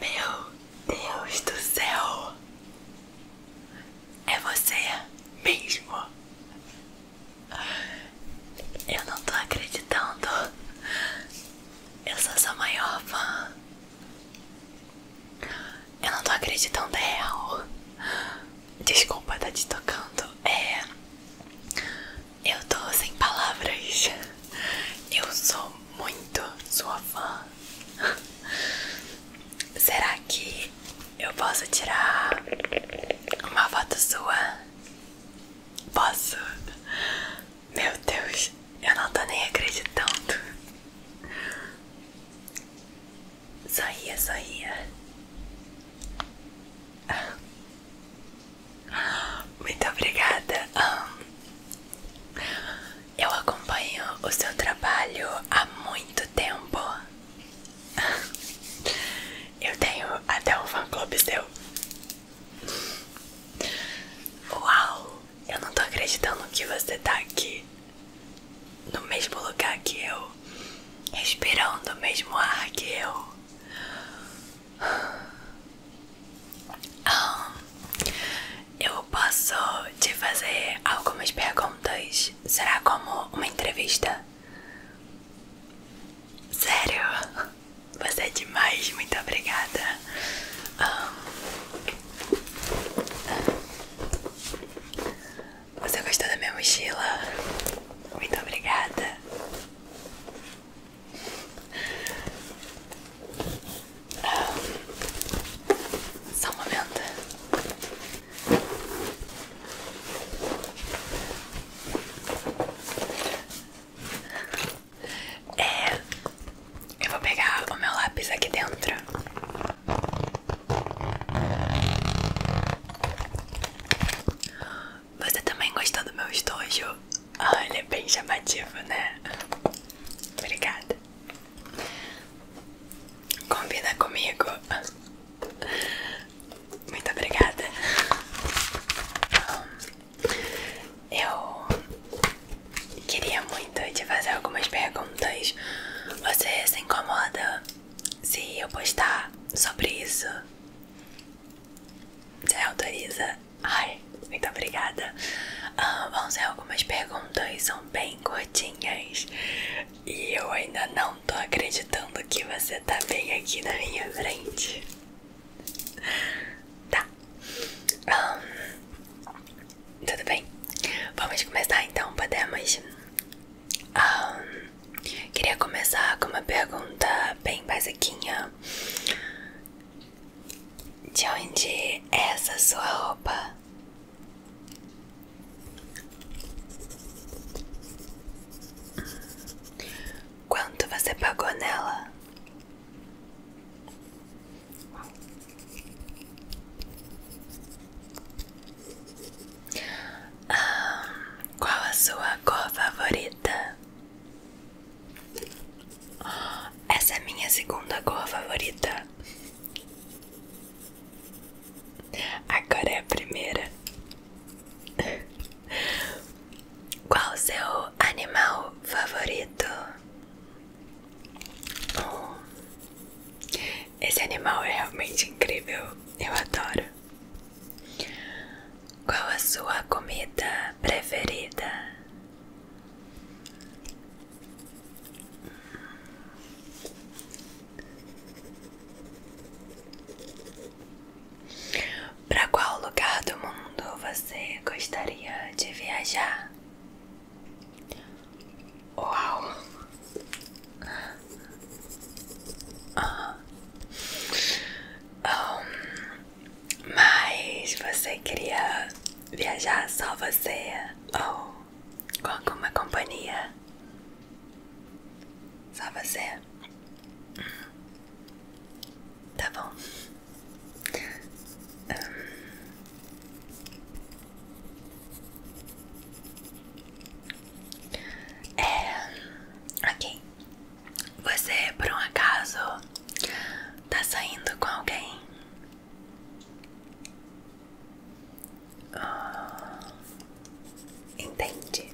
Meu Deus do céu, é você mesmo. Eu não tô acreditando. Eu sou sua maior fã. Eu não tô acreditando, é real. Desculpa tá te tocando. É. Eu tô sem palavras. Eu sou muito sua fã. Será que eu posso tirar uma foto sua? Posso? Meu Deus, eu não tô nem acreditando. Sorria, sorria. Muito obrigada. Eu acompanho o seu trabalho há muito tempo. Eu tenho até um fã clube seu. Uau! Eu não tô acreditando que você tá aqui. No mesmo lugar que eu. Respirando o mesmo ar que eu. Ah, eu posso te fazer algumas perguntas. Será como uma entrevista? Sério? Você é demais, muito obrigada. Você gostou da minha mochila? Muito obrigada. Só um momento. É, eu vou pegar o meu lápis aqui dentro. Você também gostou do meu estojo? Ah, ele é bem chamativo, né? Obrigada. convida comigo. Muito obrigada. Eu queria muito te fazer algumas perguntas. Você se incomoda se eu postar sobre isso? Você autoriza? Ai, muito obrigada. Ah, vão ser algumas perguntas, são bem curtinhas. E eu ainda não não tô acreditando que você tá bem aqui na minha frente. Tá. tudo bem. Vamos começar então, podemos? queria começar com uma pergunta bem basiquinha. De onde é essa sua roupa? Quanto você pagou nela? Ah, qual a sua cor favorita? Essa é minha segunda cor favorita. Agora é a primeira. Qual o seu animal favorito? Hum. Esse animal é realmente incrível. Eu adoro. Qual a sua comida preferida? Para qual lugar do mundo você gostaria de viajar? Uau! Ah. mas você queria viajar só você ou com alguma companhia? Só você? Tá bom. É. Ok. Você, por um acaso, tá saindo com alguém? Ah, entende?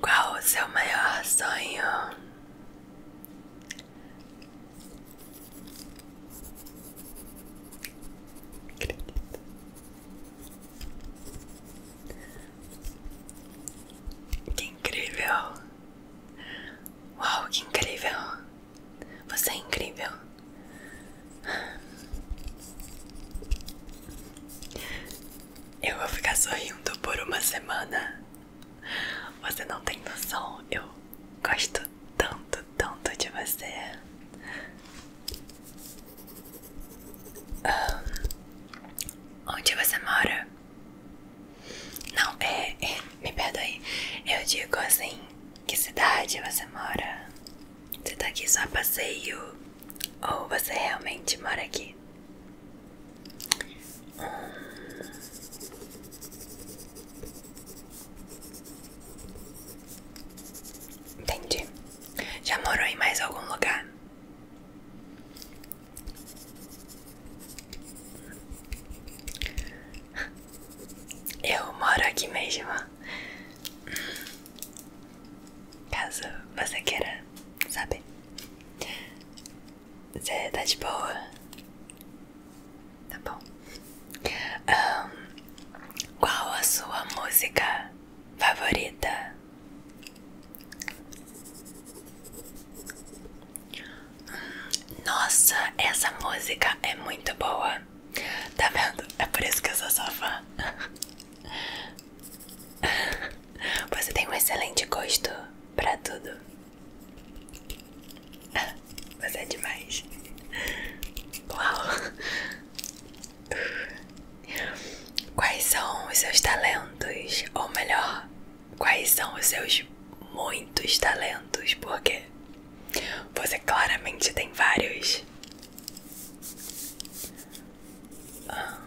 Qual o seu maior sonho? Que incrível! Uau, que incrível! Você é incrível! Eu vou ficar sorrindo por uma semana. Você não tem noção, eu gosto tanto, tanto de você. onde você mora? Não, é, é, me perdoe. Eu digo assim, que cidade você mora? Você tá aqui só a passeio? Ou você realmente mora aqui? Hum. Entendi. Já morou em mais algum lugar? Eu moro aqui mesmo. Caso você queira saber. Você tá de boa? Tá bom. Um, qual a sua música favorita? Nossa, essa música é muito boa. Tá vendo? É por isso que eu sou sua fã. Você tem um excelente gosto pra tudo. Você é demais. Uau! Quais são os seus talentos? Ou melhor, quais são os seus muitos talentos, porque você claramente tem vários. Ah.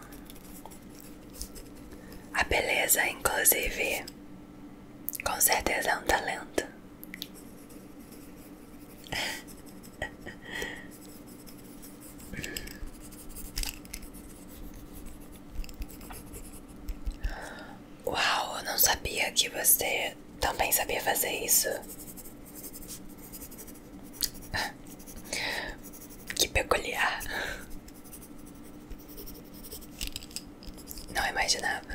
A beleza, inclusive, com certeza é um talento. Uau, eu não sabia que você também sabia fazer isso. Que peculiar. Não imaginava.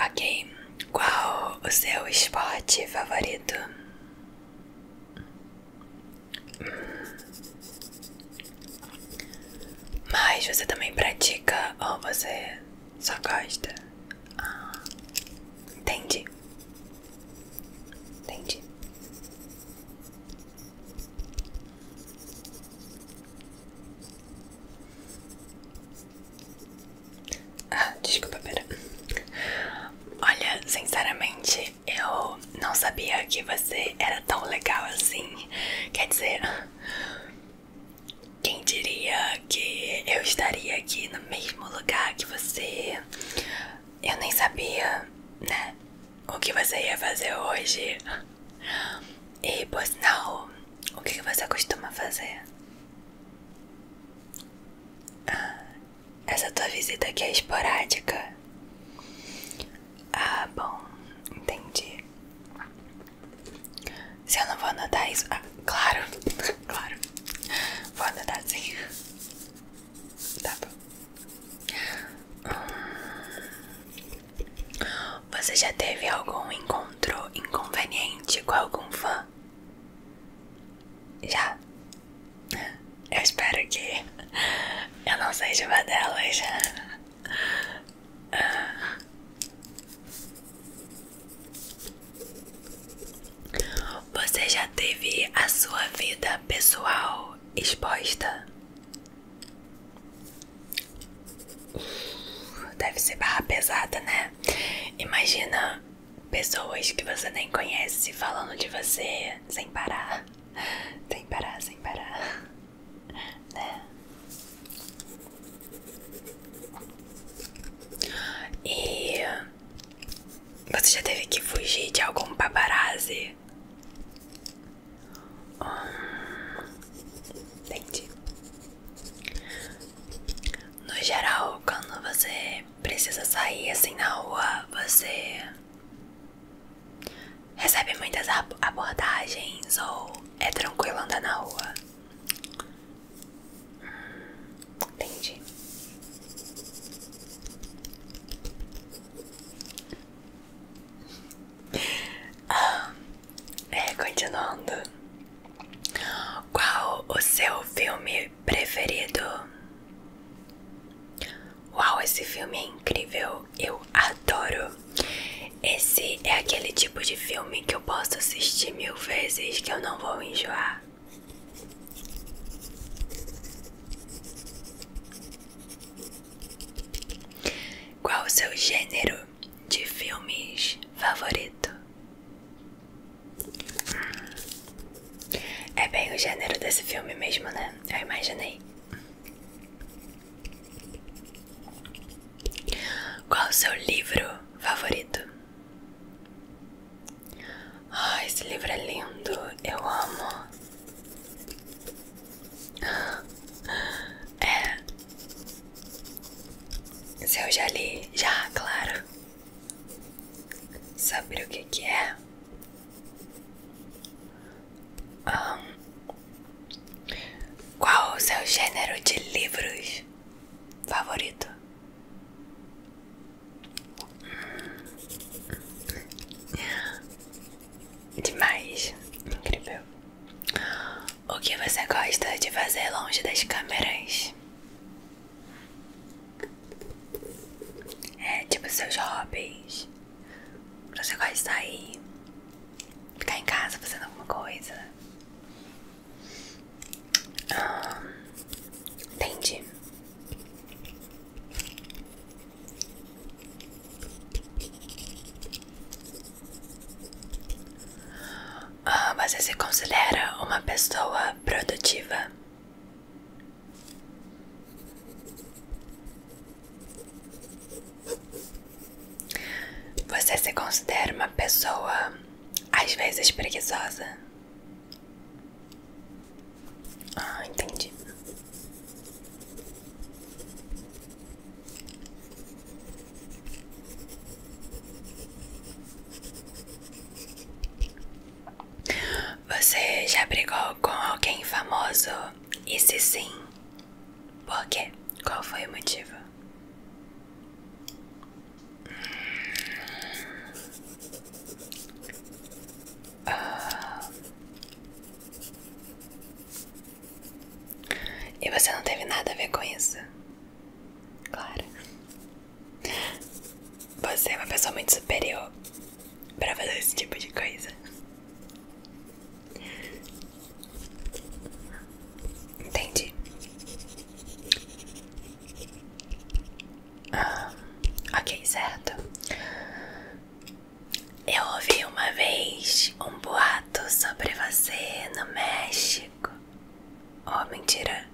Ok, qual o seu esporte favorito? Mas você também pratica ou você só gosta? Ah, entendi. Entendi. Ah, desculpa, pera. Olha, sinceramente, eu não sabia que você era tão legal assim. Quer dizer, quem diria que eu estaria aqui no mesmo lugar que você? Eu nem sabia, né? O que você ia fazer hoje. E por sinal, o que você costuma fazer? Ah, essa tua visita aqui é esporádica? Ah, bom, entendi. Se eu não vou anotar isso. Ah, claro, claro. Vou anotar sim. Tá bom. Você já teve algum encontro inconveniente com algum fã? Já? Eu espero que eu não seja uma delas. Você já teve a sua vida pessoal exposta? Deve ser barra pesada, né? Imagina pessoas que você nem conhece falando de você sem parar sem parar, sem parar, né? E você já teve que fugir de algum paparazzi? Hum, entendi. No geral, quando você precisa sair assim na rua, você Recebe muitas abordagens ou é tranquilo andar na rua? Hum, entendi. Ah, é, continuando. Qual o seu filme preferido? Uau, esse filme é incrível, eu adoro. Esse é aquele tipo de filme que eu posso assistir mil vezes que eu não vou enjoar. Qual o seu gênero de filmes favorito? É bem o gênero desse filme mesmo, né? Eu imaginei. Qual o seu livro favorito? Ah, esse livro é lindo. Eu amo. É. Se eu já li, já, claro. Sobre o que que é? qual o seu gênero de livros favorito? Hum, Demais, incrível. O que você gosta de fazer longe das câmeras? É, tipo seus hobbies. Você gosta de sair, ficar em casa fazendo alguma coisa. Ah, entendi. Ah, você se considera uma pessoa produtiva? Você se considera uma pessoa às vezes preguiçosa? Ah, entendi. Você já brigou com alguém famoso? E se sim, por quê? Qual foi o motivo? E você não teve nada a ver com isso? Claro. Você é uma pessoa muito superior para fazer esse tipo de coisa. Entendi. Ah, ok, certo. Eu ouvi uma vez um boato sobre você no México. Oh, mentira.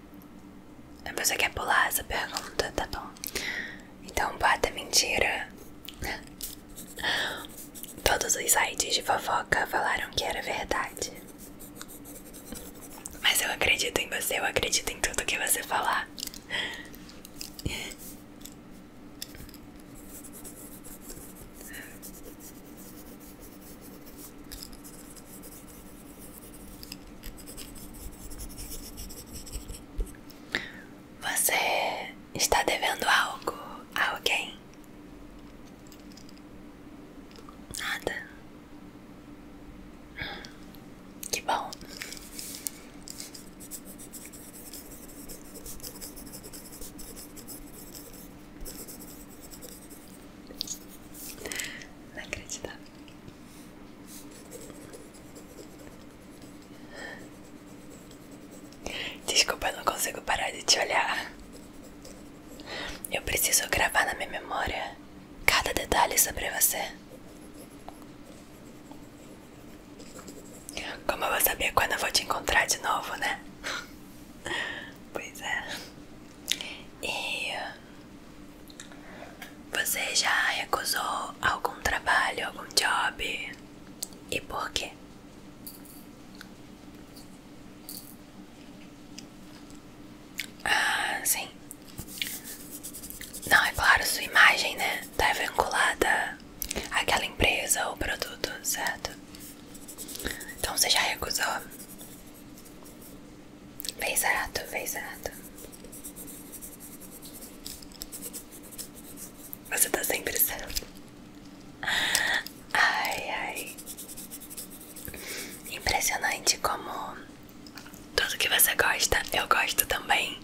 É, você quer pular essa pergunta? Tá bom. Então, bata mentira. Todos os sites de fofoca falaram que era verdade. Mas eu acredito em você, eu acredito em tudo que você falar. Você está devendo algo a alguém? Nada. Hum, que bom. Não acreditava. Desculpa, eu não consigo parar de te olhar. Eu preciso gravar na minha memória cada detalhe sobre você. Como eu vou saber quando eu vou te encontrar de novo, né? Pois é. E você já recusou algum trabalho, algum job? E por quê? Ah, sim. Não, é claro, sua imagem, né? Tá vinculada àquela empresa ou produto, certo? Então você já recusou? Veizarato, Veizarato. Você tá sempre certo. Ai, ai. Impressionante como tudo que você gosta, eu gosto também.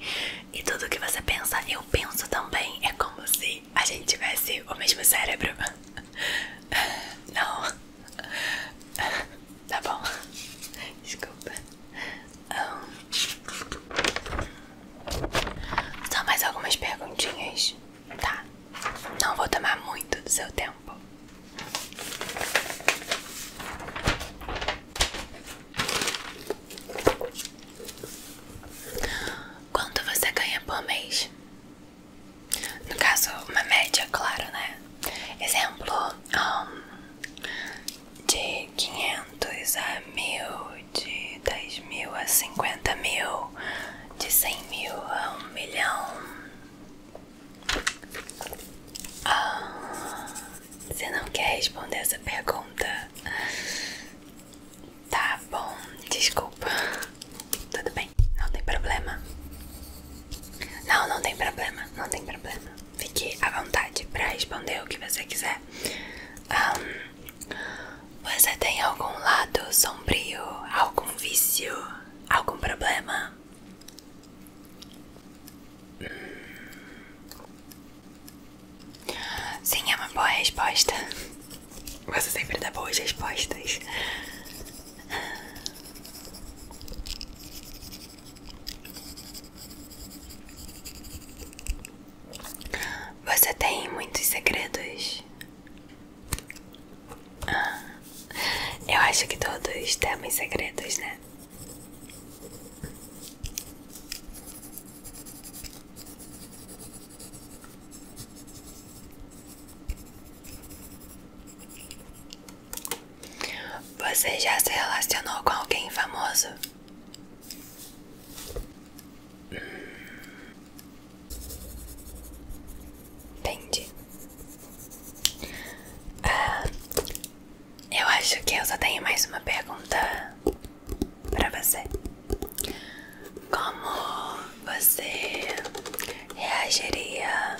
E tudo que você pensa, eu penso também. É como se a gente tivesse o mesmo cérebro. Não. Tá bom, desculpa. Um... Só mais algumas perguntinhas, tá? Não vou tomar muito do seu tempo. Quanto você ganha por mês? No caso, uma média, claro, né? Exemplo, um, de 500 a 1000, de 10 mil a 50 mil, de 100 mil a 1 milhão. Ah, você não quer responder essa pergunta? Tá bom, desculpa. Tudo bem, não tem problema. Não, não tem problema, não tem problema fique à vontade para responder o que você quiser. você tem algum lado sombrio, algum vício, algum problema? Hum. Sim, é uma boa resposta. Você sempre dá boas respostas. Você tem muitos segredos? Ah, eu acho que todos temos segredos, né? Você já se relacionou com alguém famoso? Hum. Entendi. Ah, eu acho que eu só tenho mais uma pergunta para você. Como você reagiria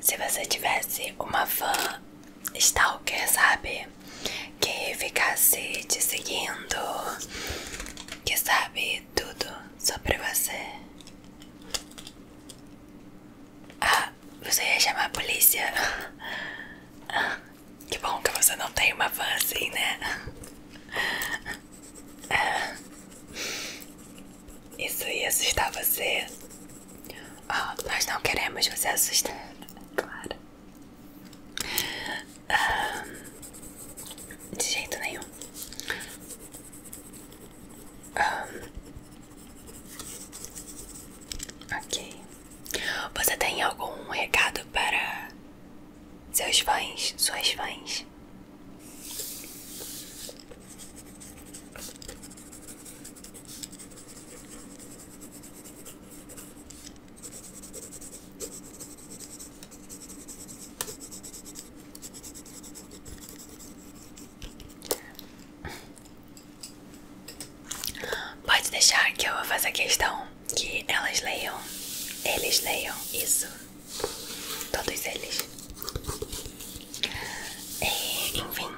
se você tivesse uma fã stalker, sabe? Que ficasse te seguindo, que sabe tudo sobre você. Ah, você ia chamar a polícia? que bom que você não tem uma fã assim, né? Ah, isso ia assustar você. Oh, nós não queremos você assustar, claro. Ah, de jeito nenhum. Ah, ok. Você tem algum recado para seus fãs, suas fãs? Pode deixar que eu vou fazer questão que elas leiam, eles leiam isso, todos eles. É, enfim,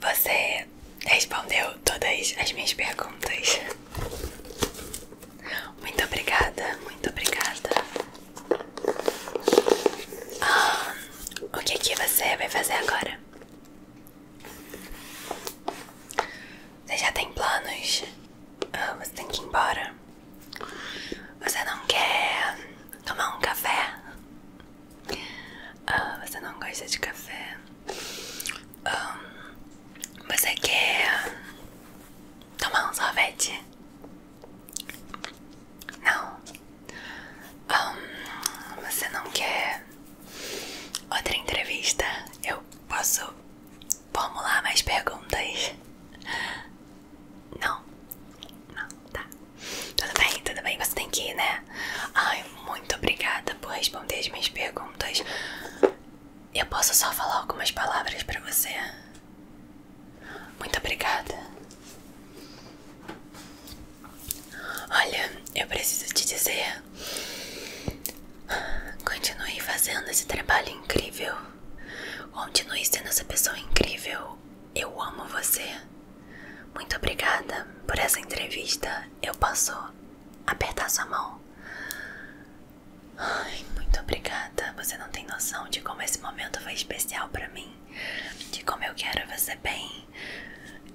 você respondeu todas as minhas perguntas. Muito obrigada, muito obrigada. Ah, o que que você vai fazer agora? Você já tem planos? Ah, você tem que ir embora? Você não quer tomar um café? Ah, você não gosta de café? você quer tomar um sorvete? Não. você não quer outra entrevista? Eu posso formular mais perguntas? Não. Não, tá. Tudo bem, tudo bem, você tem que ir, né? Ai, muito obrigada por responder as minhas perguntas. Eu posso só falar algumas palavras pra você? Muito obrigada. Olha, eu preciso te dizer. Continue fazendo esse trabalho incrível. Continue sendo essa pessoa incrível. Eu amo você. Muito obrigada por essa entrevista. Eu posso apertar sua mão. Ai, muito obrigada. Você não tem noção de como esse momento foi especial para mim, de como eu quero você bem,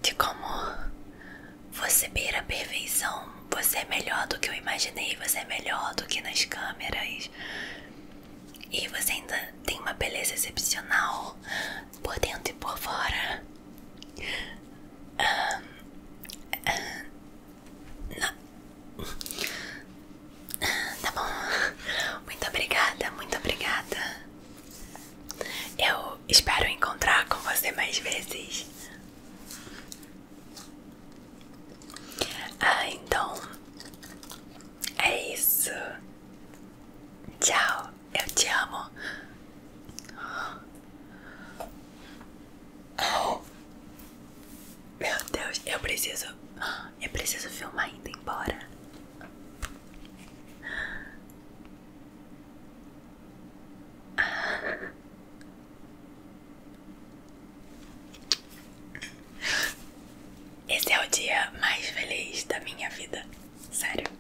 de como você beira a perfeição. Você é melhor do que eu imaginei, você é melhor do que nas câmeras. E você ainda tem uma beleza excepcional por dentro e por fora. Ah, ah, tá bom. Muito obrigada, muito obrigada. Eu espero encontrar com você mais vezes. Ah, então é isso. Tchau, eu te amo. Meu Deus, eu preciso. Eu preciso filmar indo embora. Esse é o dia mais feliz da minha vida, sério.